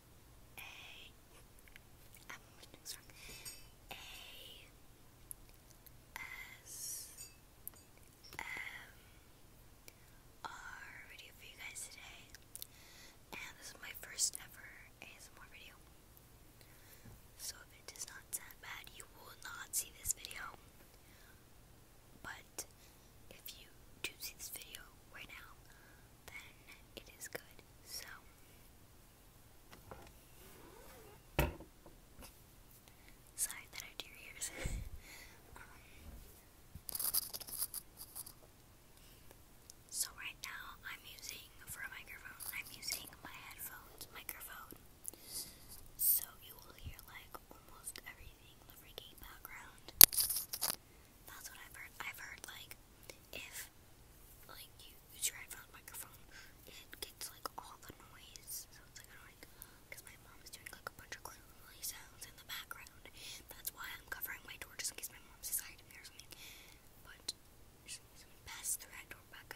A. I'm video for you guys today. And this is my first ever ASMR video. So if it does not sound bad, you will not see this video. But if you do see this video right now, then it is good. So sorry that I do your ears. Um, so right now I'm using for a microphone. I'm using my headphones microphone. So you will hear like almost everything in the freaking background. That's what I've heard. I've heard like if like you use your iPhone microphone, it gets like all the noise. So it's like annoying because my mom is doing like a bunch of crinkly sounds in the background. That's why I'm covering my door just in case my mom's inside me or something. But she's pass through that door back.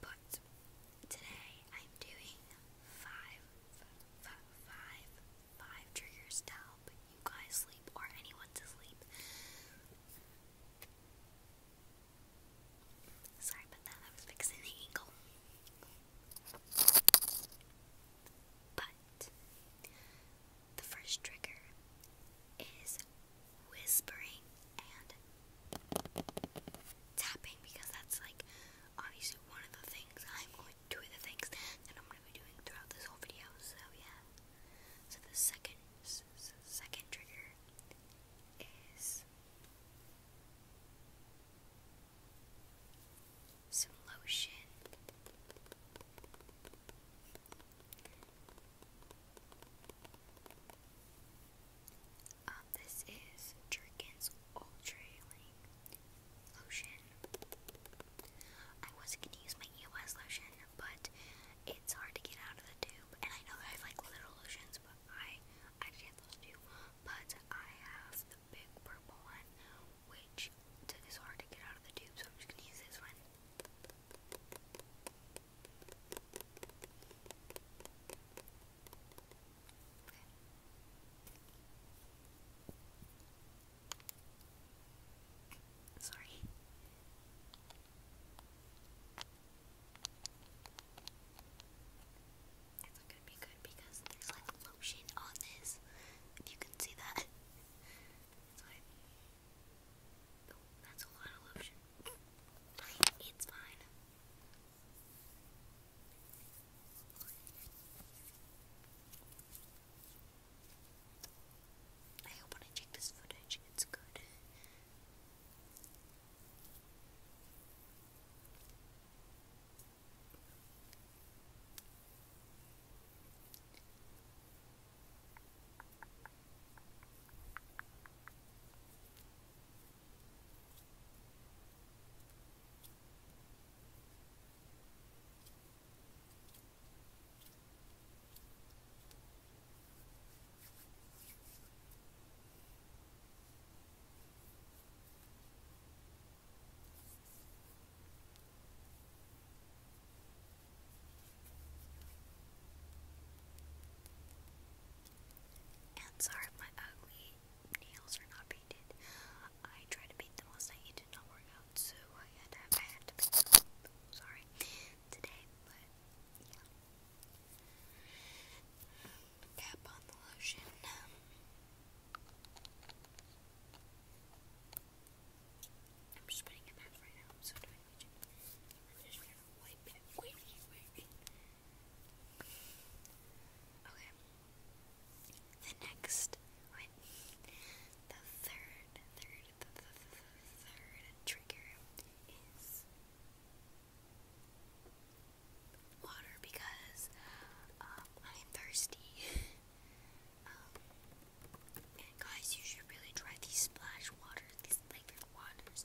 But today I'm doing five five, five triggers to you guys sleep or anyone to sleep. Sorry about that, I was fixing the angle. But the first trigger is whispering and tapping because that's like obviously one of the things I'm going two of the things that I'm going to be doing throughout this whole video, so yeah. So the second, second trigger is some lotion. Um, um, this is Jerkin's Ultra Healing Lotion. I was gonna use my EOS lotion, but it's hard to get out of the tube. And I know I have like little lotions, but I I did have those two. But I have the big purple one, which is hard to get out of the tube, so I'm just gonna use this one. Okay. Sorry. It's gonna be good because there's like lotion on this. If you can see that. that's a lot of lotion. It's fine. I hope when check this footage, it's good. Ants are my ugly nails are not painted. I tried to paint them last night, it did not work out, so I had to, I had to Sorry, today, Cap on the lotion. I'm just putting it back right now. I'm so doing I'm just gonna wipe it. Wait, wait, wait. Okay. The next, wait, the third, third, the, the, the, the third trigger is water because um, I'm thirsty. um, and guys, you should really try these splash waters, these flavored waters.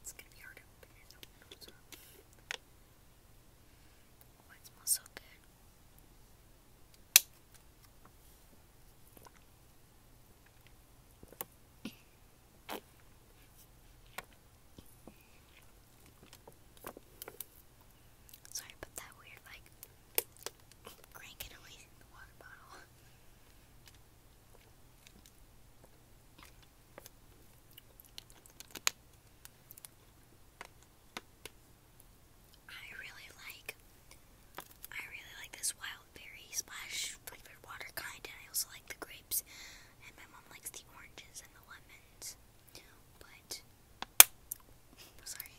it's gonna be hard to open it up. So. it smells so good. Sorry about that weird, like, cranking away in the water bottle. I really like I really like this wild berry splash flavored water kind and I also like the grapes and my mom likes the oranges and the lemons. But sorry.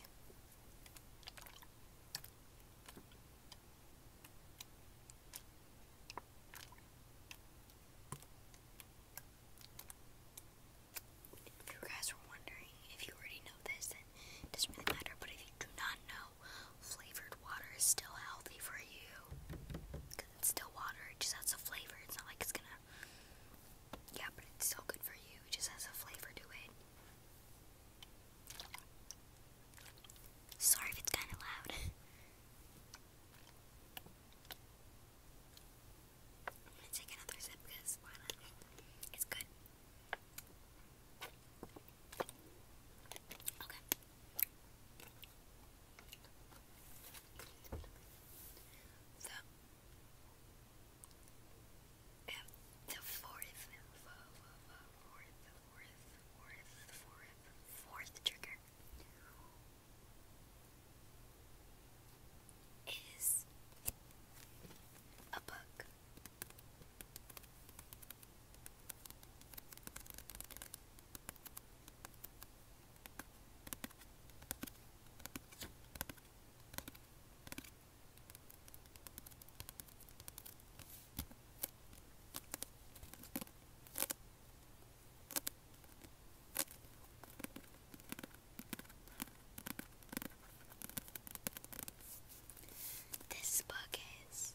If you guys were wondering, if you already know this, then it doesn't really matter. But if you do not know, flavored water is still healthy for you. Because it's still water, it just has a flavor. It's not like it's gonna. Yeah, but it's still good for you. It just has a flavor to it. Sorry if it's kind of loud. I'm gonna take another sip because It's good. Okay. So, the fourth, fourth, fourth, fourth, fourth trigger is a book. This book is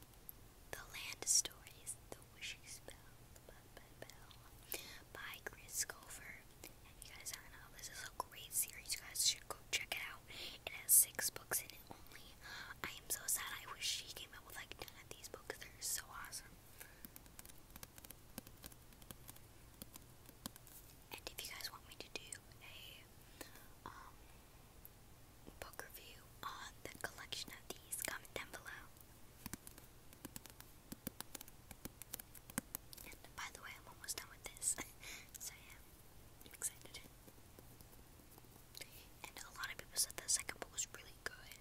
The Land Stories, The Wishing Spell by Chris Culver. And you guys, I know this is a great series. You guys should go check it out. It has six books in it only. I am so sad. I wish she came up with like 10 of these books. They're so awesome. And if you guys want me to do a um, book review on the collection of these, comment down below. And by the way, I'm almost done with this. so yeah, I'm excited. And a lot of people said the second book was really good.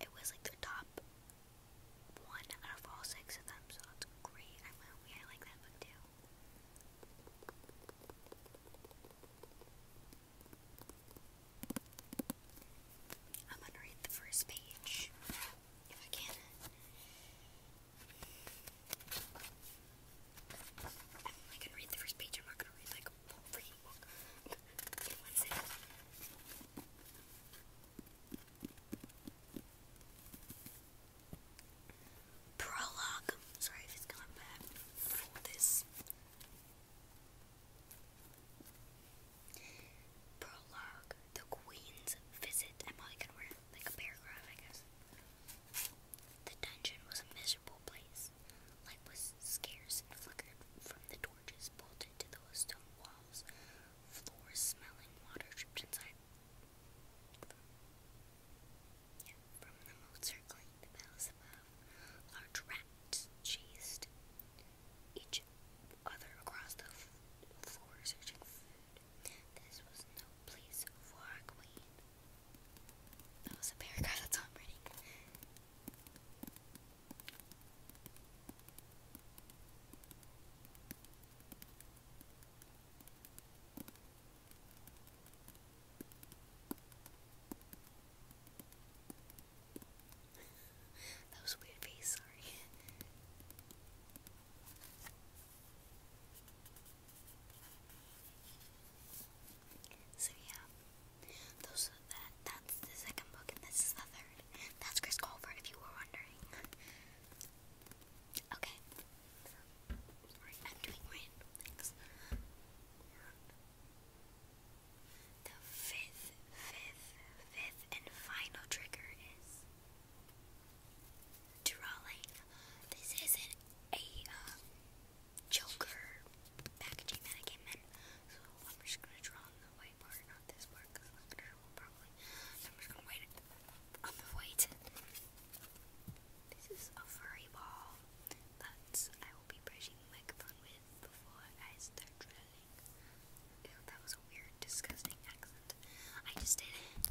It was like the top one out of all six of them, so that's great. I really I like that book too. I'm gonna read the first page if I can. I am not gonna read Prologue. Sorry if it's gone this. Prologue. The Queen's visit. I'm probably gonna wear like a paragraph, I guess. The dungeon was a miserable place. Light was scarce and flickered from the torches bolted to those stone walls. Floors smelling water dripped inside. from the moat circling the palace above, large rats chased each other across the floor searching food. This was no place for a queen. That was a paragraph, that's all I'm reading. that was a sorry. So yeah, those are that. That's the second book, and this is the third. That's Chris Colfer, if you were wondering. okay. The fifth, fifth, fifth, and final trigger is drawing. This isn't a um, Joker packaging so I'm just gonna draw the white part, not this part, because I'm not gonna I'm just gonna wait on the white. This is a furry ball that I will be brushing the microphone with before I start drilling. Ew, that was a weird, disgusting accent. I just did it.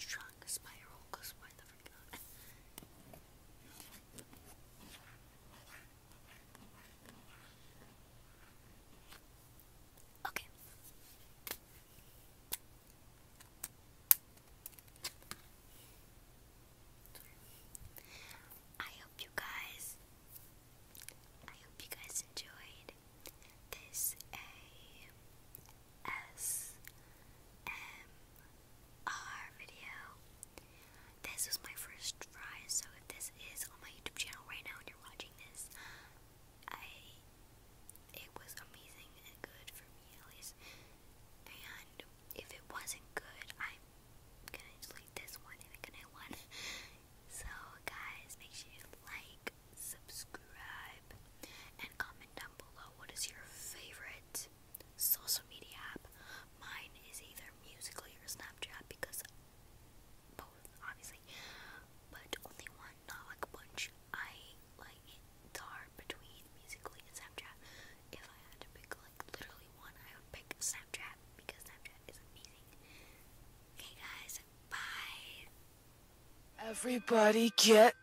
Shrunk spiral, cause why the frick not? Okay. I hope you guys I hope you guys enjoyed this ASMR video. This was my first try, so if this is on my YouTube channel right now and you're watching this, I it was amazing and good for me at least. And if it wasn't good, I'm gonna delete this one and make a new one. So guys, make sure you like, subscribe, and comment down below what is your favorite social media app. Mine is either Musical.ly or Snapchat because both, obviously, but only one, not like a bunch. I like tar between Musically and Snapchat. If I had to pick like literally one, I would pick Snapchat because Snapchat is amazing. Okay, guys, bye. Everybody get.